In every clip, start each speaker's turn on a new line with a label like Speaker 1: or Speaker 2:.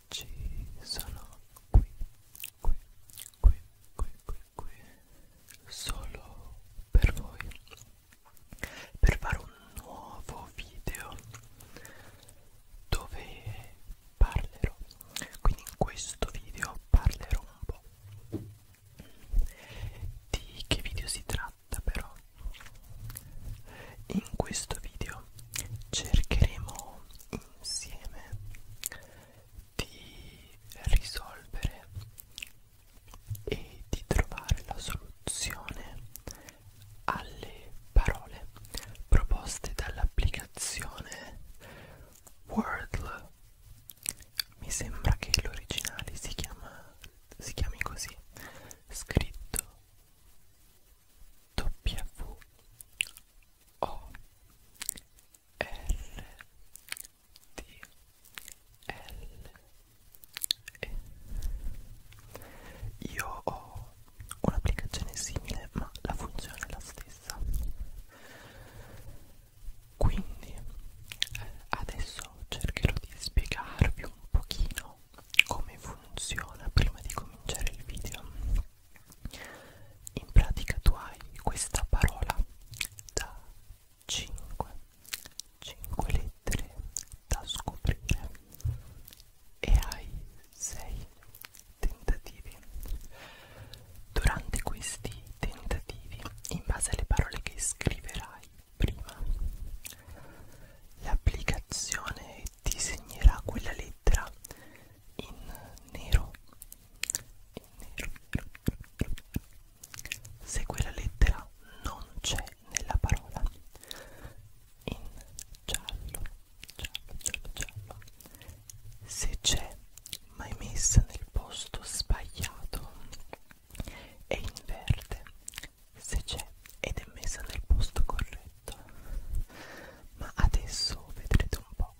Speaker 1: oggi sono qui, qui, qui, qui, qui, qui solo per voi per fare un nuovo video dove parlerò quindi in questo video parlerò un po' di che video si tratta però in questo video cercheremo insieme di risolvere e di trovare la soluzione alle parole proposte dall'applicazione Wordle. Mi sembra che l'originale si, si chiami così, scritto W o R D L E Io ho un'applicazione simile ma la funzione è la stessa quindi adesso cercherò di spiegarvi un pochino come funziona prima di cominciare il video in pratica tu hai questa parola da 5 5 lettere da scoprire e hai 6 tentativi durante questi tentativi in base alle parole che scriverai prima l'applicazione ti segnerà quella lettera in nero in nero se quella lettera non c'è nella parola in giallo giallo giallo giallo se c'è ma è messa nel posto sbagliato e inverte se c'è ed è messa nel posto corretto fatto ma adesso vedrete un po'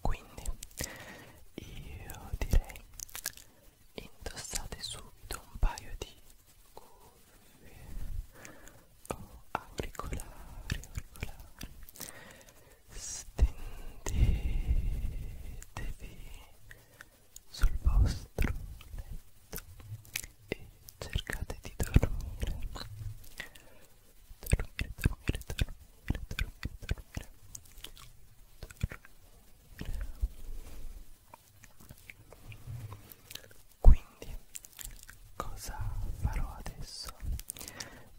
Speaker 1: quindi io direi indossate subito un paio di cuffie o oh, auricolari auricolari stendetevi sul vostro letto e cercate di dormire dormire, dormire, dormire, dormire, dormire, dormire. Quindi, cosa farò adesso?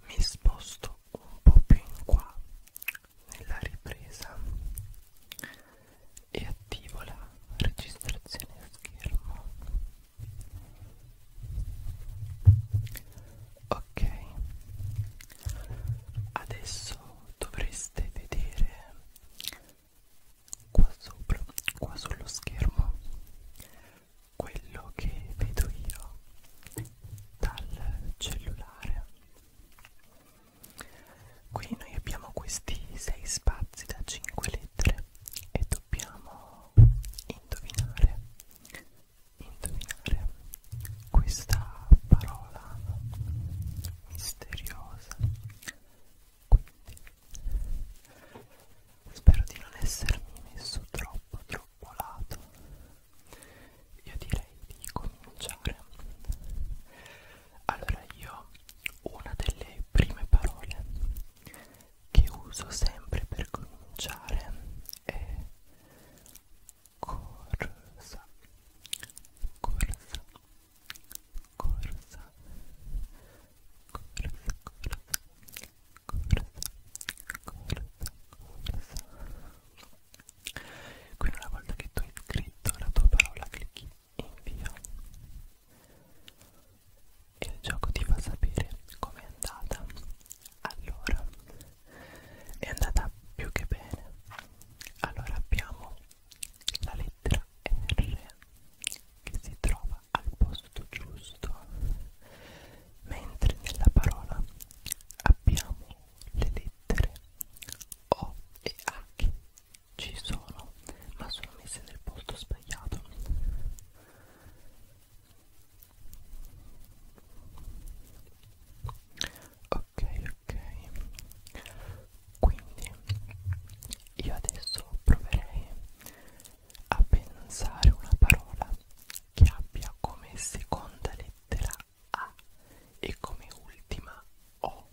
Speaker 1: Mi sposto un po' più in qua nella ripresa e attivo la registrazione a schermo ok adesso dovreste vedere qua sopra qua sullo schermo quello che vedo io dal cellulare qui noi abbiamo questi sei spazi da 5 lettere e dobbiamo indovinare indovinare questa parola misteriosa quindi spero di non essermi messo troppo troppo lato io direi di cominciare allora io una delle prime parole che uso sempre per cominciare è corsa corsa corsa corsa corsa corsa corsa corsa quindi una volta che tu hai scritto la tua parola clicchi invia e il gioco ti fa sapere com'è andata. Allora, è andata più che bene. Allora abbiamo la lettera R che si trova al posto giusto, mentre nella parola abbiamo le lettere O e H ci sono, ma sono messe nel posto sbagliato ok ok quindi io adesso proverei a pensare una parola che abbia come seconda lettera A e come ultima O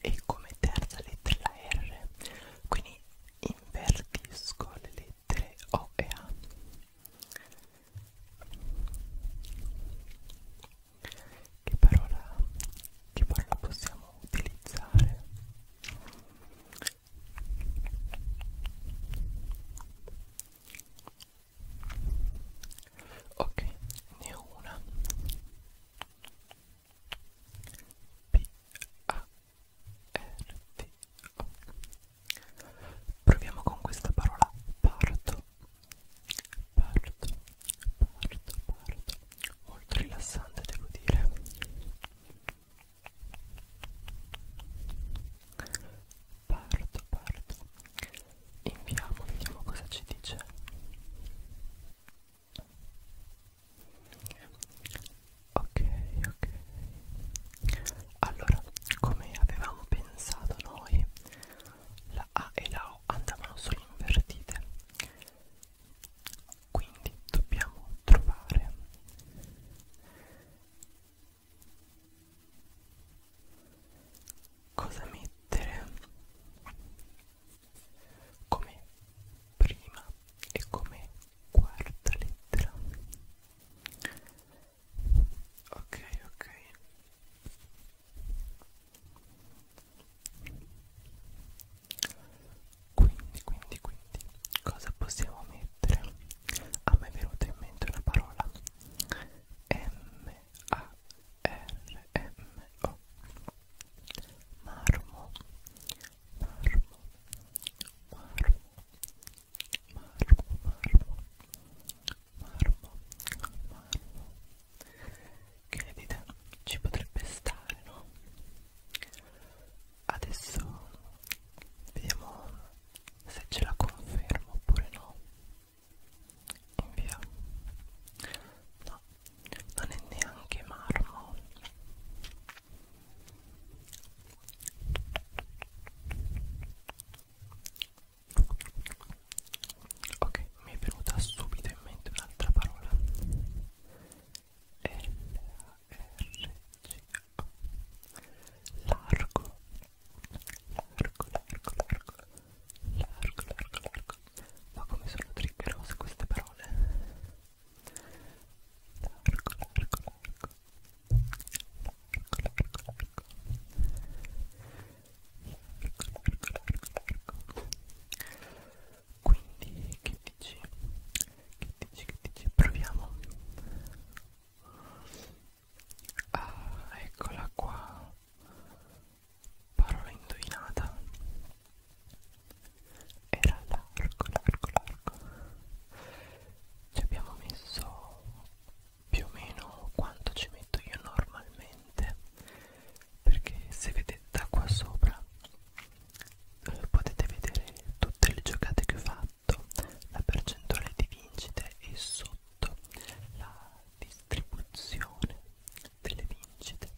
Speaker 1: e come terza lettera R quindi invertisco le lettere O e A che parola, che parola possiamo utilizzare? Ok, ne ho una P A RTO. Proviamo con questa parola parto. Parto, parto, parto. Molto rilassante, devo dire. Parto, parto. Inviamo, vediamo cosa ci dice ok ok allora come avevamo pensato noi la A e la O andavano solo invertite quindi dobbiamo trovare cosa mettere come prima e come quarta lettera ok ok quindi quindi quindi cosa possiamo mettere a me è venuta in mente una parola m a r m o marmo marmo, marmo, marmo, marmo, marmo, marmo. Che ne dite? Ci potrebbe stare, no? Adesso vediamo se ce la confermo oppure no. Invia. No, non è neanche marmo ok mi è venuta subito in mente un'altra parola L A R G O largo largo largo largo largo largo largo ma come sono triggerose queste parole Largo, largo, largo. Largo, largo, largo. Largo, largo, largo, largo. Quindi che dici? Che dici? Che dici? Proviamo. Ah, eccola qua. Parola indovinata era largo largo largo ci abbiamo messo più o meno quanto ci metto io normalmente perché se vedete da qua sopra eh, potete vedere tutte le giocate che ho fatto la percentuale di vincite e sotto la distribuzione delle vincite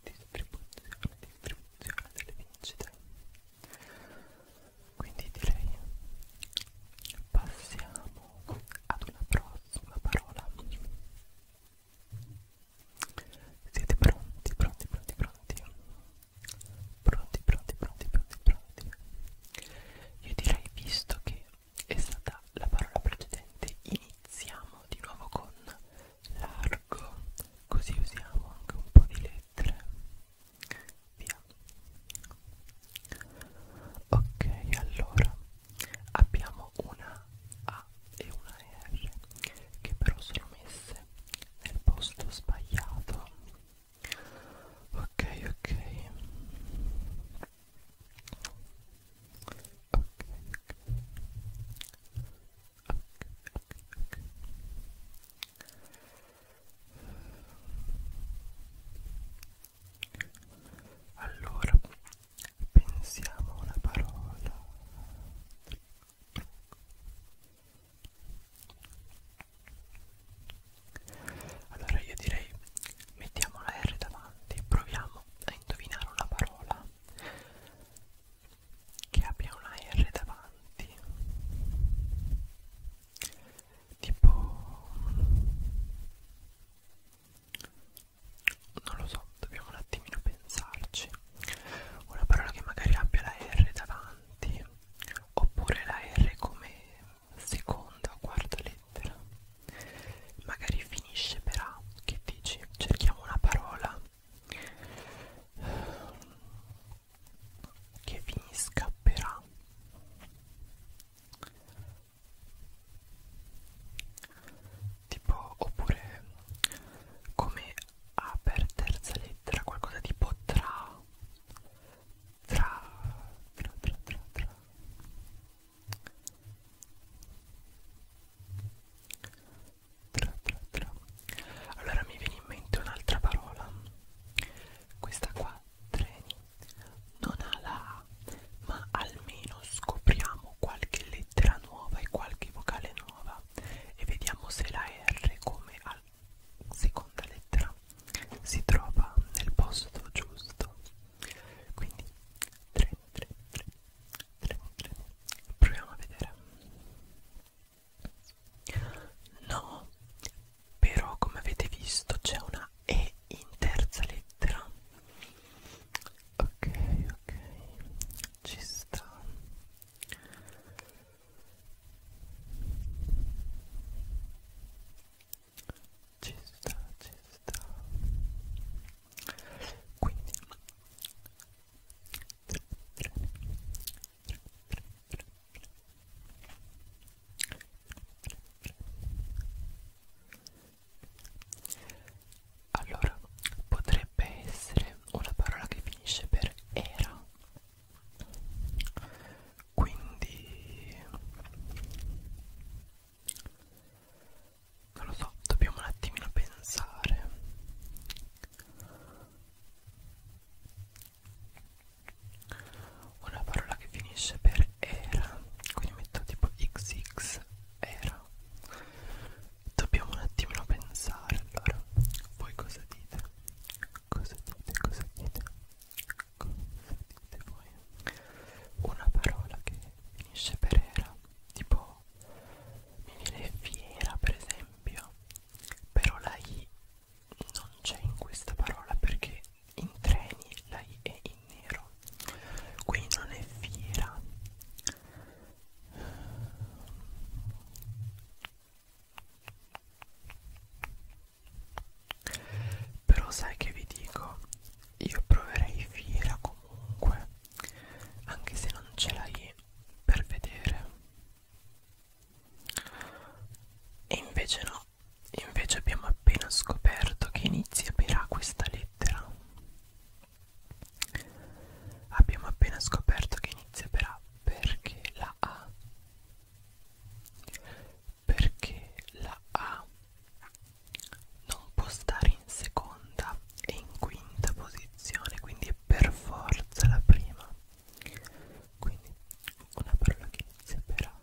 Speaker 1: distribuzione, distribuzione delle vincite quindi direi passiamo ad una prossima parola siete pronti, pronti, pronti, pronti pronti, pronti, pronti, pronti, pronti io direi visto che è stata la parola precedente iniziamo di nuovo con largo così usiamo anche un po' di lettere via ok allora abbiamo una A e una R che però sono messe nel posto sbagliato ok ok ok, ok, ok, allora pensiamo a una parola allora io direi mettiamo la R davanti proviamo a indovinare una parola che abbia una R davanti tipo non lo so dobbiamo un attimino pensarci una parola che magari abbia la R davanti oppure la R come seconda o quarta lettera magari finisce per A, che dici? Cerchiamo una parola che finisca per A. Tipo, oppure come A per terza lettera, qualcosa tipo tra, tra, tra, tra, tra, tra. Tra, tra, tra. Allora mi viene in mente un'altra parola. Questa qua, treni, non ha la A, ma almeno scopriamo qualche lettera nuova e qualche vocale nuova e vediamo se la R come al seconda lettera si trova nel posto giusto. Quindi 3, 3, 3 vedremo, vedremo. Proviamo a vedere. No, però come avete visto c'è una E in terza lettera. Ok, ok, ci sta. Ci sta, ci sta quindi allora potrebbe essere una parola che finisce per era quindi non lo so, dobbiamo un attimino pensare una parola che finisce per era quindi metto tipo xx era dobbiamo un attimino pensare allora voi cosa dite cosa dite cosa dite cosa dite voi una parola che finisce per era tipo mi viene fiera per esempio però la I non c'è in questa parola perché in treni la I è in nero qui non è fiera però sai che vi dico io proverei fiera comunque anche se non ce l'hai per vedere e invece no invece abbiamo appena scoperto che inizia per A questa lettera abbiamo appena scoperto che inizia per A perché la A perché la A non può stare in seconda e in quinta posizione quindi è per forza la prima quindi una parola che inizia per A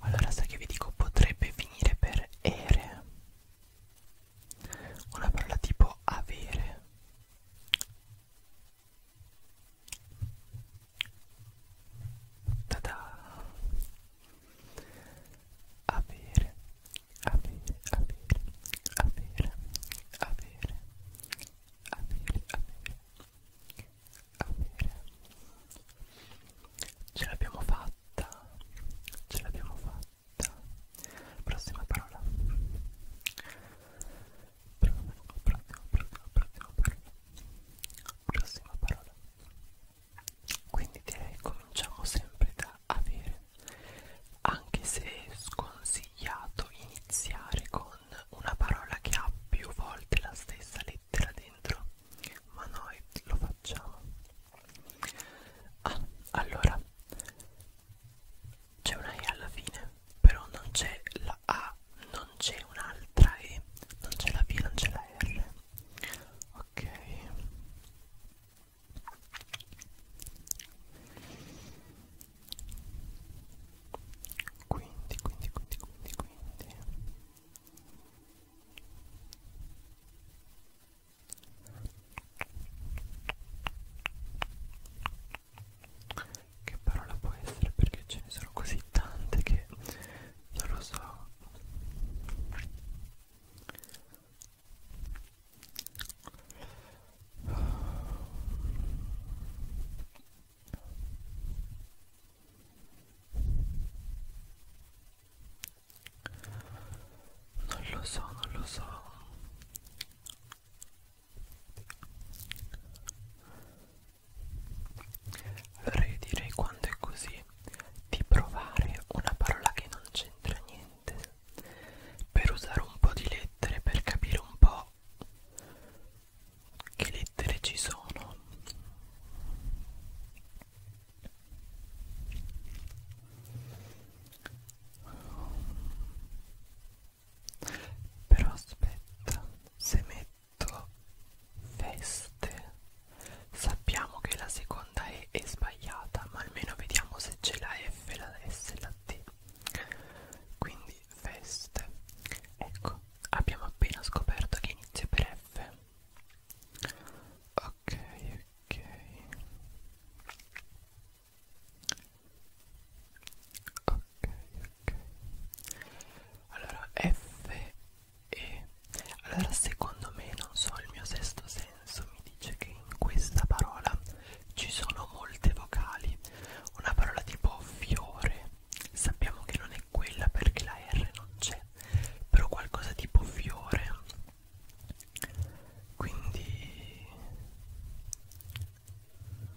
Speaker 1: allora sai che vi dico potrebbe finire per ere una parola tipo avere Ta-da! Avere, avere, avere, avere, avere, avere, avere, avere. Ce l'abbiamo fatta, ce l'abbiamo fatta. Prossima parola. Prossima, prossima, prossima, prossima parola. Prossima parola. Quindi direi cominciamo sempre da avere, anche se è sconsigliato iniziare con una parola che ha più volte la stessa lettera dentro, ma noi lo facciamo. Ah, allora c'è una E alla fine però non c'è la A, non c'è un'altra E, non c'è la B, non c'è la R. Ok. Quindi, quindi, quindi, quindi, quindi che parola può essere perché ce ne sono così tante che non lo so non lo so, non lo so allora io direi quando è così di provare una parola che non c'entra niente per usare un po' di lettere per capire un po' che lettere ci sono però aspetta se metto feste sappiamo che la seconda E è sbagliata ma almeno vediamo se c'è la F, la S e la T quindi feste ecco abbiamo appena scoperto che inizia per F ok ok ok ok allora F e allora secondo me non so il mio sesto senso mi dice che in questa parola ci sono molte vocali una parola tipo fiore sappiamo che non è quella perché la R non c'è però qualcosa tipo fiore quindi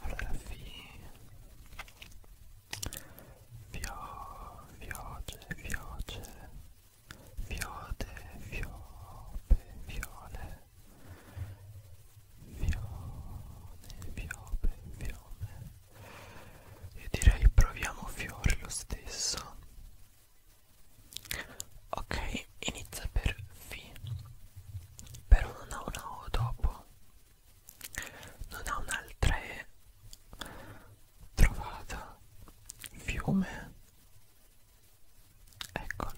Speaker 1: allora vi Vio, vioce, vioce, viode, viope, viole, vione, viope, vione. E direi proviamo fiore lo stesso. Ok, inizia per V però non ha una O dopo non ha un'altra E trovata fiume eccolo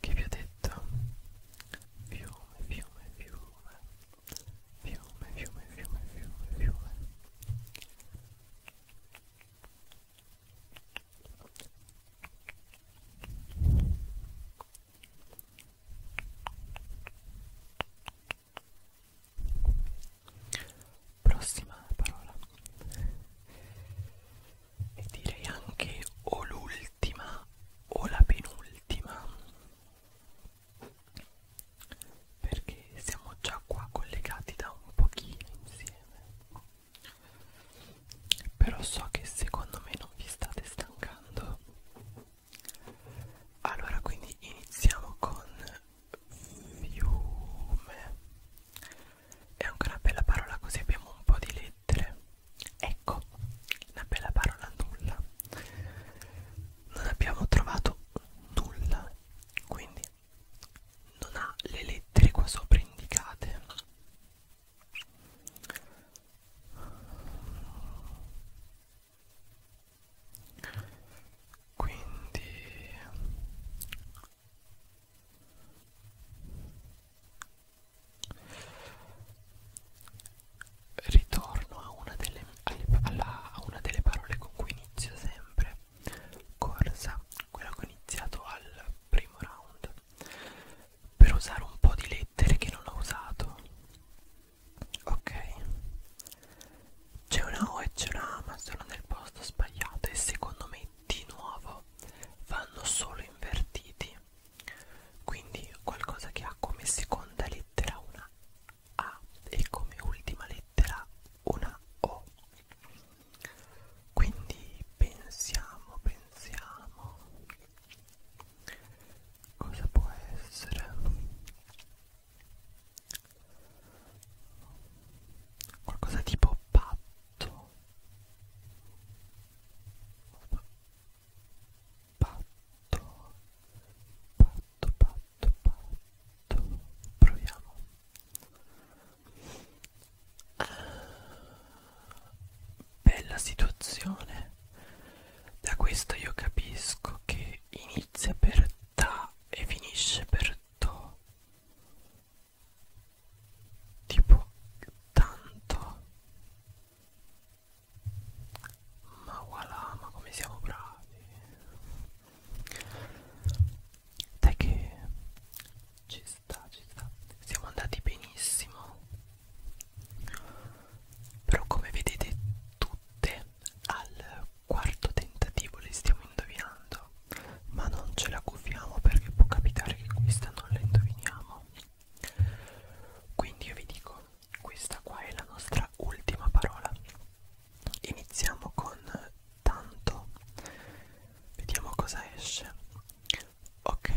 Speaker 1: che vi ho detto fiume fiume fiume fiume fiume fiume fiume fiume Prossima parola e direi anche o l'ultima o la penultima perché siamo già qua collegati da un pochino insieme però so che secondo me non vi state stancando. Allora, quindi iniziamo con fiume. È anche una bella parola così abbiamo un po' di lettere. Ecco, una bella parola nulla. Non abbiamo trovato nulla, quindi non ha le lettere qua sopra indicate quindi ritorno a una delle, alla, a una delle parole con cui inizio sempre corsa quella che ho iniziato al primo round per usare un po' di lettere che non ho usato ok c'è una O e c'è una A ma sono nel posto sbagliato e secondo me di nuovo vanno solo invertiti quindi qualcosa che ha come seconda lettera una A e come ultima lettera una O quindi pensiamo, pensiamo cosa può essere qualcosa tipo patto patto patto patto patto proviamo bella situazione da questo io capisco che inizia per ta e finisce per to tipo tanto ma voilà ma come siamo bravi dai che ci sta sta, ci sta. Siamo andati benissimo. Però come vedete tutte al quarto tentativo le stiamo indovinando. Ma non ce la gufiamo perché può capitare che questa non la indoviniamo. Quindi io vi dico, questa qua è la nostra ultima parola. Iniziamo con tanto. Vediamo cosa esce ok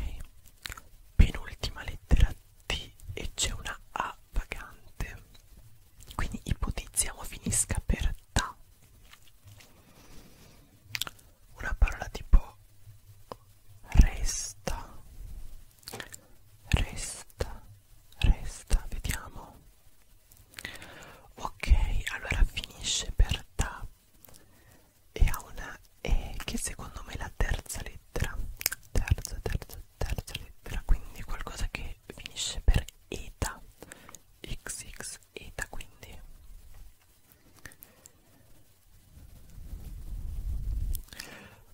Speaker 1: penultima lettera T e c'è una A vagante quindi ipotizziamo finisca per TA una parola tipo resta resta resta vediamo ok allora finisce per ta e ha una E che secondo me è la terza lettera terza terza terza lettera quindi qualcosa che finisce per eta xx eta quindi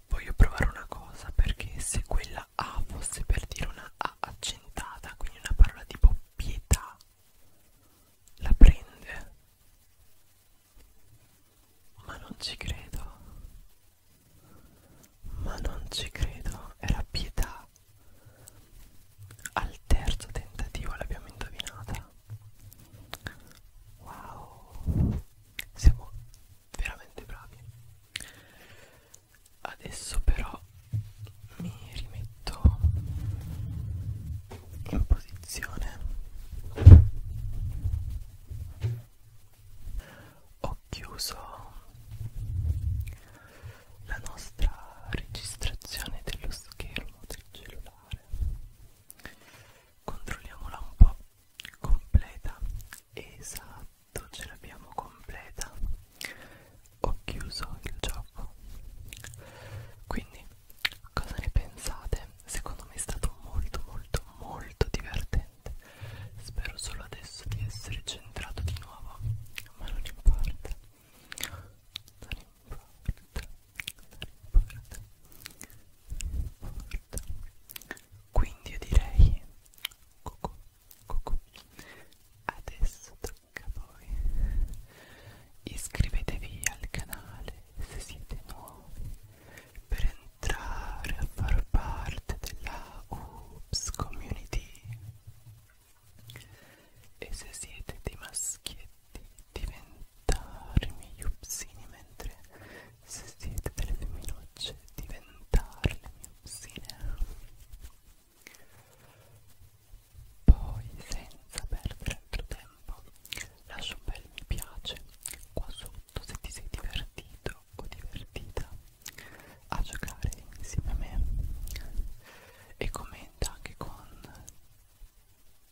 Speaker 1: voglio provare una cosa perché se quella A fosse per dire una A accentata quindi una parola tipo pietà la prende ma non ci credo ma non ci credo era pietà al terzo tentativo l'abbiamo indovinata wow siamo veramente bravi adesso però mi rimetto in posizione ho chiuso la nostra registrazione dello schermo del cellulare controlliamola un po' completa esatto ce l'abbiamo completa ho chiuso il gioco quindi cosa ne pensate secondo me è stato molto molto molto divertente spero solo adesso di essere centrato di nuovo ma non importa non importa non importa non importa quindi io direi cucù, cucù. adesso tocca H poi iscrivetevi al canale se siete nuovi per entrare a far parte della Oops Community e se siete dei maschietti diventare miei upsini mentre se siete delle femminucce diventarle mie upsine poi, senza perdere altro tempo, lascia un bel mi piace qua sotto se ti sei divertito o divertita a giocare insieme a me e commenta anche con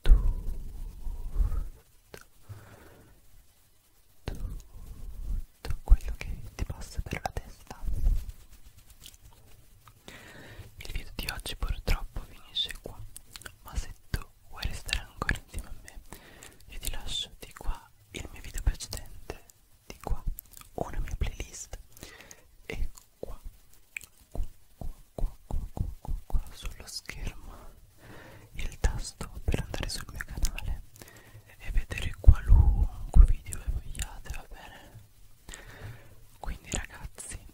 Speaker 1: tutto, tutto quello che ti passa per la testa il video di oggi purtroppo finisce qua, ma se tu vuoi restare ancora insieme a me, io ti lascio di qua il mio video precedente, di qua una mia playlist e qua, qua, qua, qua, qua, qua, qua, qua sullo schermo il tasto per andare sul mio canale e vedere qualunque video vogliate, va bene? Quindi ragazzi